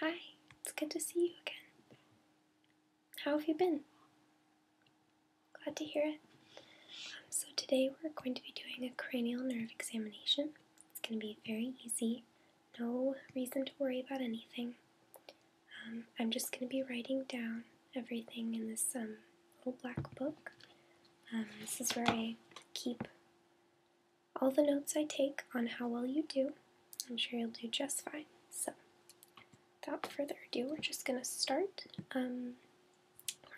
Hi, it's good to see you again. How have you been? Glad to hear it. Um, so, today we're going to be doing a cranial nerve examination. It's going to be very easy, no reason to worry about anything. Um, I'm just going to be writing down everything in this um, little black book. this is where I keep all the notes I take on how well you do. I'm sure you'll do just fine. So, without further ado, we're just going to start. Um,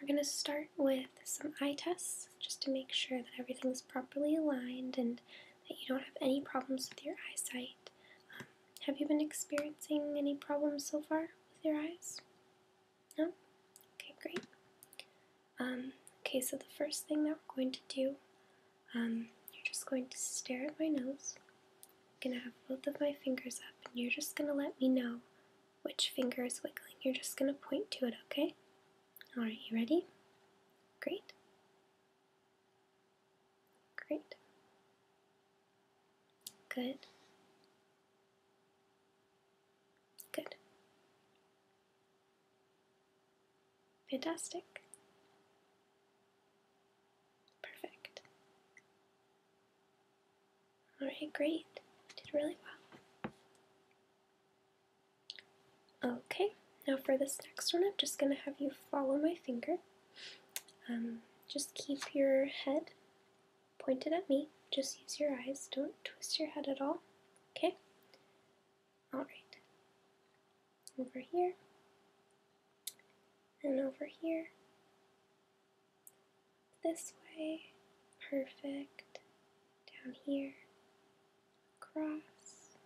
we're going to start with some eye tests just to make sure that everything is properly aligned and that you don't have any problems with your eyesight. Um, have you been experiencing any problems so far with your eyes? No? Okay, great. Um, okay, so the first thing that we're going to do um, you're just going to stare at my nose. I'm gonna have both of my fingers up, and you're just gonna let me know which finger is wiggling. You're just gonna point to it, okay? Alright, you ready? Great. Great. Good. Good. Fantastic. Perfect. Alright, great. Did really well. Okay, now for this next one, I'm just going to have you follow my finger. Um, just keep your head pointed at me. Just use your eyes. Don't twist your head at all. Okay? Alright. Over here. And over here. This way. Perfect. Down here. cross.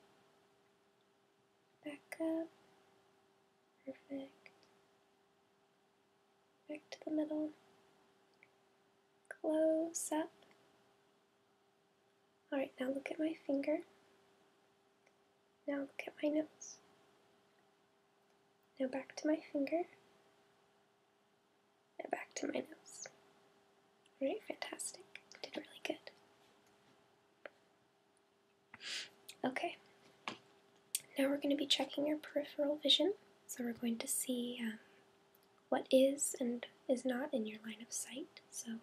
Back up. Perfect. Back to the middle. Close up. Alright, now look at my finger. Now look at my nose. Now back to my finger. And back to my nose. Alright, fantastic. Did really good. Okay. Now we're going to be checking your peripheral vision. So we're going to see um, what is and is not in your line of sight. So I'm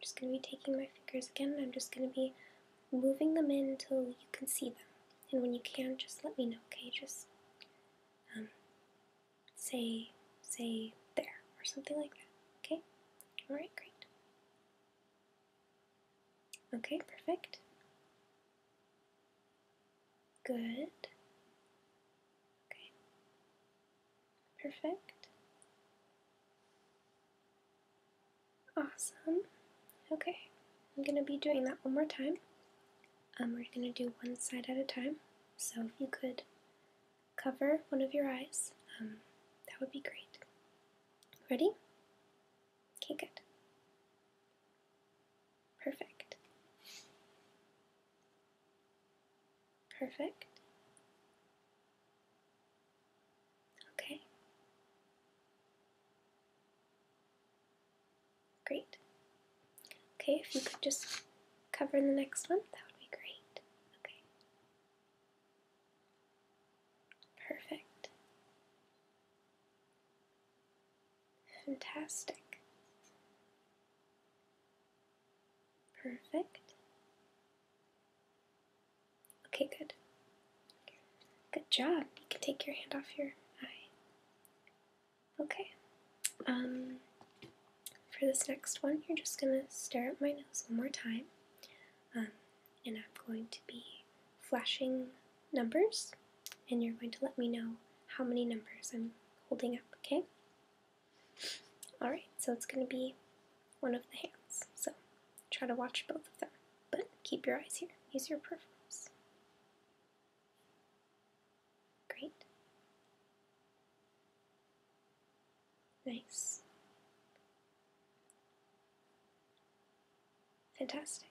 just going to be taking my fingers again I'm just going to be moving them in until you can see them. And when you can, just let me know, okay? Just um, say, say there or something like that, okay? Alright, great. Okay, perfect. Good. Okay. Perfect. Awesome. Okay, I'm going to be doing that one more time. Um, we're going to do one side at a time. So if you could cover one of your eyes, um, that would be great. Ready? Okay, good. Perfect. Perfect. Okay. Great. Okay, if you could just cover the next one, that would be great. Okay. Perfect. Fantastic. Perfect. Okay, good. Good job. You can take your hand off your eye. Okay. Um, for this next one, you're just going to stare at my nose one more time. Um, and I'm going to be flashing numbers, and you're going to let me know how many numbers I'm holding up, okay? Alright, so it's going to be one of the hands. So try to watch both of them, but keep your eyes here. Use your peripherals. Great. Nice. Fantastic.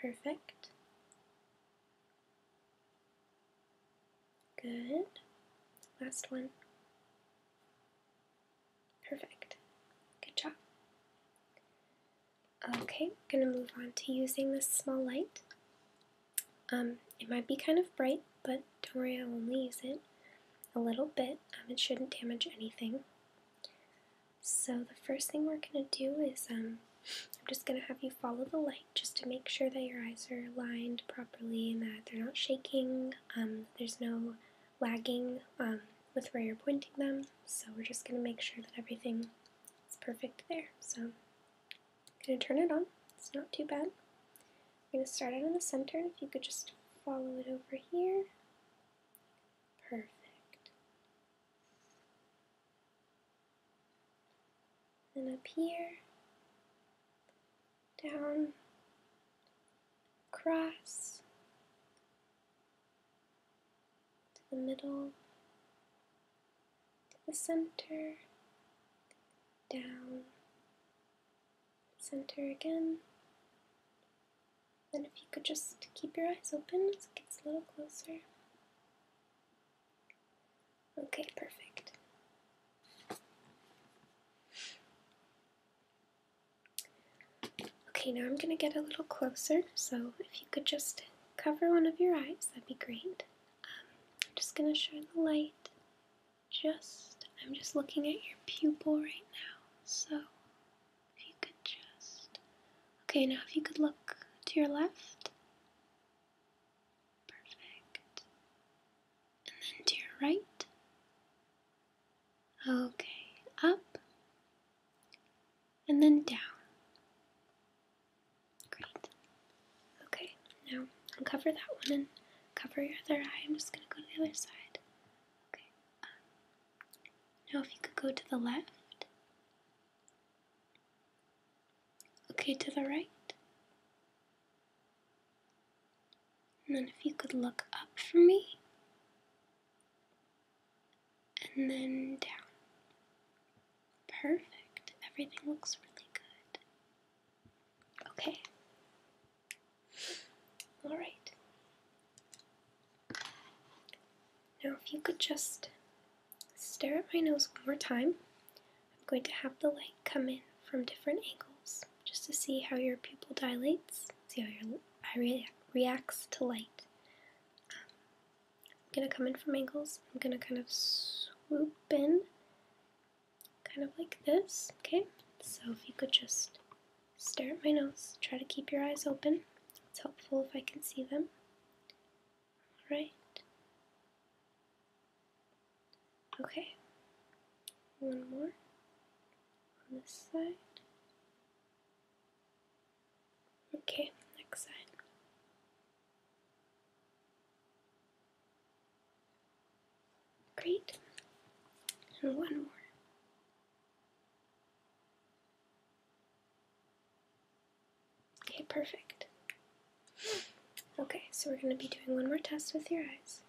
Perfect. Good. Last one. Perfect. Good job. Okay, we're going to move on to using this small light. Um, it might be kind of bright, but don't worry, I'll only use it a little bit. Um, it shouldn't damage anything. So the first thing we're going to do is um, I'm just going to have you follow the light just to make sure that your eyes are lined properly and that they're not shaking. Um, there's no lagging um, with where you're pointing them. So we're just going to make sure that everything is perfect there. So I'm going to turn it on. It's not too bad. I'm going to start out in the center. If you could just follow it over here. Perfect. And up here down, across to the middle, to the center, down, center again. And if you could just keep your eyes open as it gets a little closer. Okay, perfect. Okay, now I'm going to get a little closer, so if you could just cover one of your eyes, that'd be great. Um, I'm just going to show the light. Just, I'm just looking at your pupil right now, so if you could just. Okay, now if you could look to your left. Perfect and then to your right. Okay, up and then down. Great. Okay, now uncover that one and cover your other eye. I'm just going to go to the other side. Okay. now, if you could go to the left. Okay, to the right. And then if you could look up for me. And then down. Perfect. Everything looks really good. Okay. Alright. Now, if you could just stare at my nose one more time, I'm going to have the light come in from different angles just to see how your pupil dilates, see how your eye reacts to light. Um, I'm going to come in from angles. I'm going to kind of swoop in, kind of like this, okay? So if you could just stare at my nose, try to keep your eyes open. It's helpful if I can see them. All right. Okay, one more on this side. Okay, next side. Great, and one more. Okay, perfect. Okay, so we're going to be doing one more test with your eyes.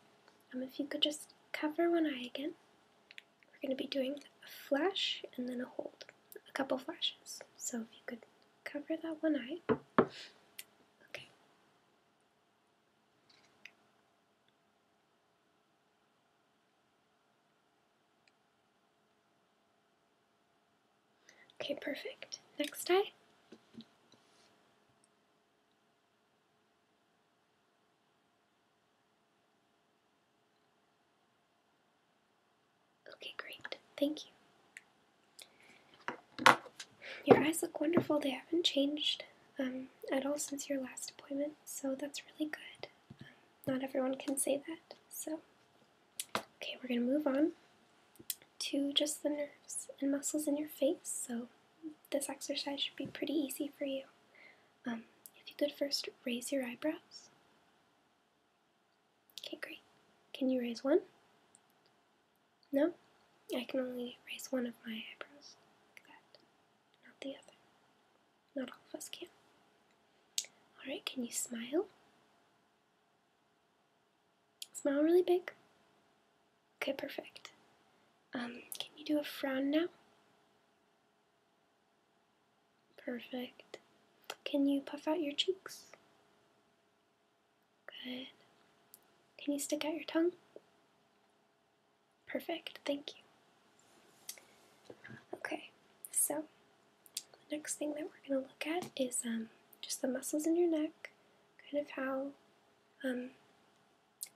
Um, if you could just cover one eye again, we're going to be doing a flash and then a hold, a couple flashes. So if you could cover that one eye. Okay. Okay, perfect. Next eye. Okay, great. Thank you. Your eyes look wonderful. They haven't changed um, at all since your last appointment, so that's really good. Um, not everyone can say that, so. Okay, we're going to move on to just the nerves and muscles in your face, so this exercise should be pretty easy for you. Um, if you could first raise your eyebrows. Okay, great. Can you raise one? No? I can only raise one of my eyebrows, that, not the other. Not all of us can. Alright, can you smile? Smile really big. Okay, perfect. Um, can you do a frown now? Perfect. Can you puff out your cheeks? Good. Can you stick out your tongue? Perfect, thank you. Okay, so the next thing that we're going to look at is um, just the muscles in your neck, kind of how um,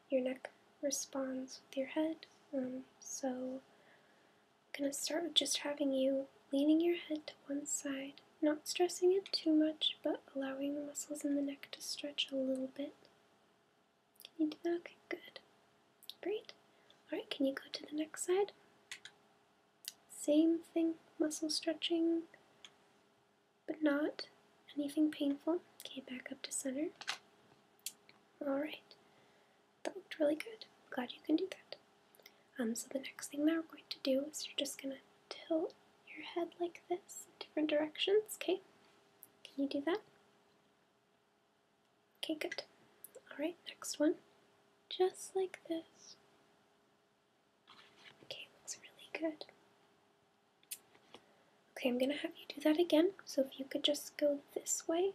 your neck responds with your head. Um, so I'm going to start with just having you leaning your head to one side, not stressing it too much, but allowing the muscles in the neck to stretch a little bit. Can you do that? Okay, good. Great. Alright, can you go to the next side? Same thing, muscle stretching but not anything painful. Okay, back up to center. Alright, that looked really good. Glad you can do that. Um, so the next thing that we're going to do is you're just going to tilt your head like this in different directions, okay? Can you do that? Okay, good. Alright, next one. Just like this. Okay, looks really good. Okay, I'm going to have you do that again. So if you could just go this way,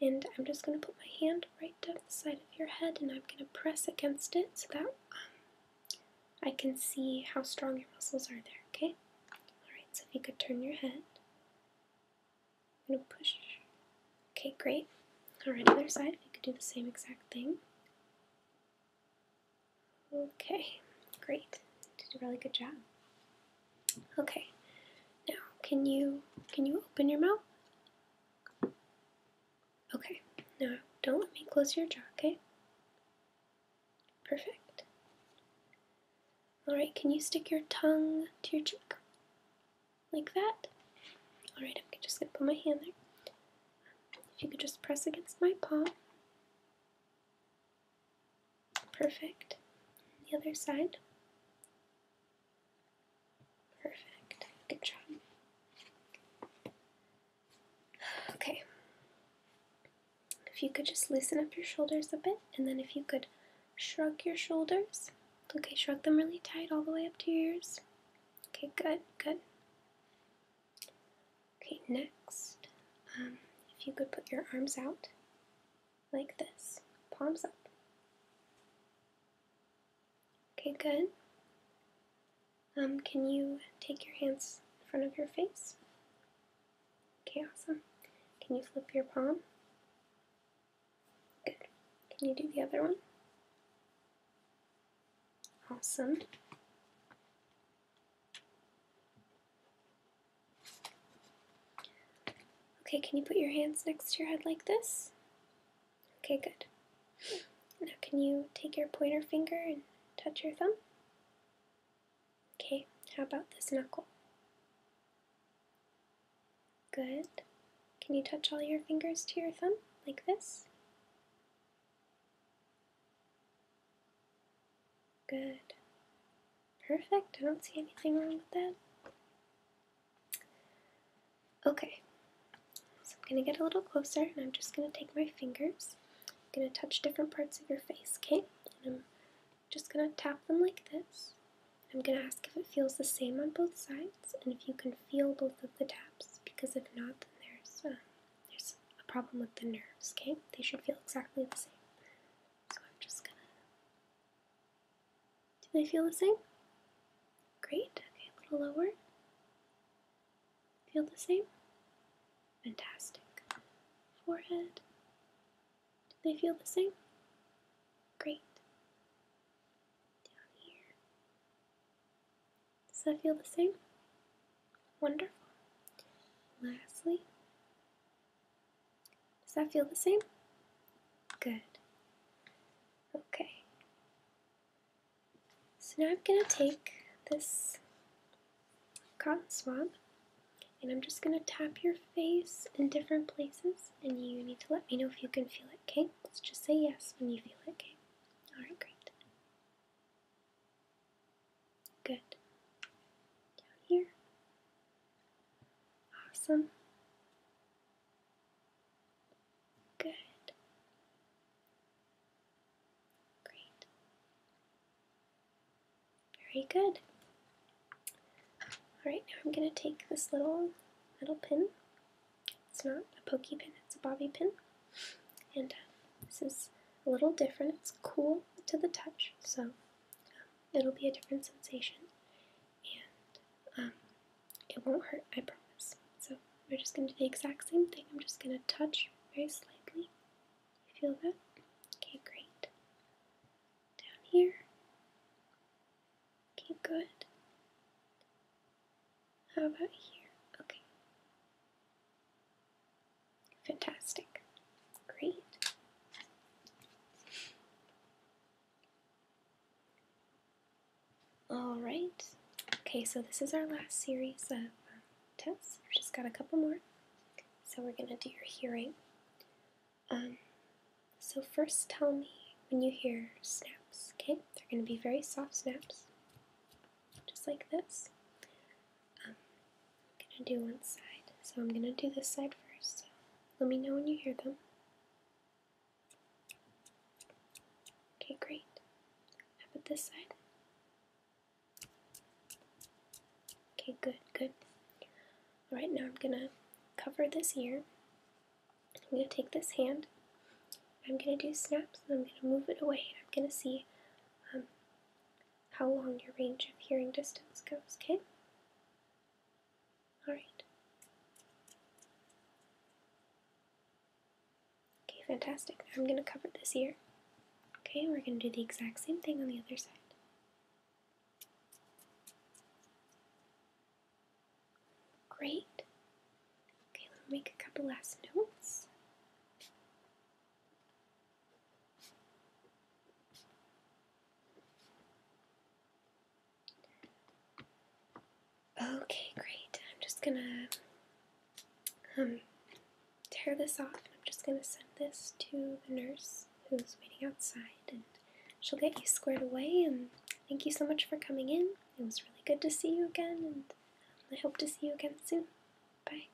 and I'm just going to put my hand right down the side of your head, and I'm going to press against it so that um, I can see how strong your muscles are there, okay? Alright, so if you could turn your head. I'm going to push. Okay, great. Alright, other side, if you could do the same exact thing. Okay, great. Did a really good job. Okay, now can you can you open your mouth? Okay, now don't let me close your jaw, okay? Perfect. Alright, can you stick your tongue to your cheek? Like that? Alright, I'm just gonna put my hand there. If you could just press against my palm. Perfect. The other side. Perfect. Good job. Okay. If you could just loosen up your shoulders a bit, and then if you could shrug your shoulders. Okay, shrug them really tight all the way up to your ears. Okay, good, good. Okay, next, um, if you could put your arms out like this, palms up. Okay, good. Um, can you take your hands in front of your face? Okay, awesome. Can you flip your palm? Good. Can you do the other one? Awesome. Okay, can you put your hands next to your head like this? Okay, good. Now, can you take your pointer finger and touch your thumb? Okay, how about this knuckle? Good. Can you touch all your fingers to your thumb like this? Good. Perfect. I don't see anything wrong with that. Okay. So I'm going to get a little closer and I'm just going to take my fingers. I'm going to touch different parts of your face, okay? And I'm just going to tap them like this. I'm going to ask if it feels the same on both sides and if you can feel both of the taps because if not, then there's uh, there's a problem with the nerves, okay? They should feel exactly the same. So I'm just gonna. Do they feel the same? Great. Okay, a little lower. Feel the same? Fantastic. Forehead. Do they feel the same? Great. Down here. Does that feel the same? Wonderful. Lastly, does that feel the same? Good. Okay. So now I'm going to take this cotton swab and I'm just going to tap your face in different places and you need to let me know if you can feel it, okay? Let's just say yes when you feel it, okay? Alright, great. Good. Down here. Awesome. Good. Great. Very good. Alright, now I'm going to take this little metal pin. It's not a pokey pin, it's a bobby pin. And uh, this is a little different. It's cool to the touch, so it'll be a different sensation, and um, it won't hurt. I promise. So we're just going to do the exact same thing. I'm just going to touch very slightly. You feel that? Okay, great. Down here. Okay, good. How about here? Okay. Fantastic. Great. Alright. Okay, so this is our last series of um, tests. We've just got a couple more. So we're going to do your hearing. Um, so first tell me when you hear snaps, okay? They're going to be very soft snaps, just like this. I'm gonna do one side, so I'm gonna do this side first. So let me know when you hear them. Okay, great. I put this side? Okay, good, good. Alright, now I'm gonna cover this ear. I'm gonna take this hand. I'm gonna do snaps and I'm gonna move it away. I'm gonna see um, how long your range of hearing distance goes, okay? Alright. Okay, fantastic. I'm going to cover this here. Okay, we're going to do the exact same thing on the other side. Great. Okay, let me make a couple last notes. Okay, great. I'm just gonna um, tear this off and I'm just gonna send this to the nurse who's waiting outside and she'll get you squared away and thank you so much for coming in. It was really good to see you again and I hope to see you again soon. Bye.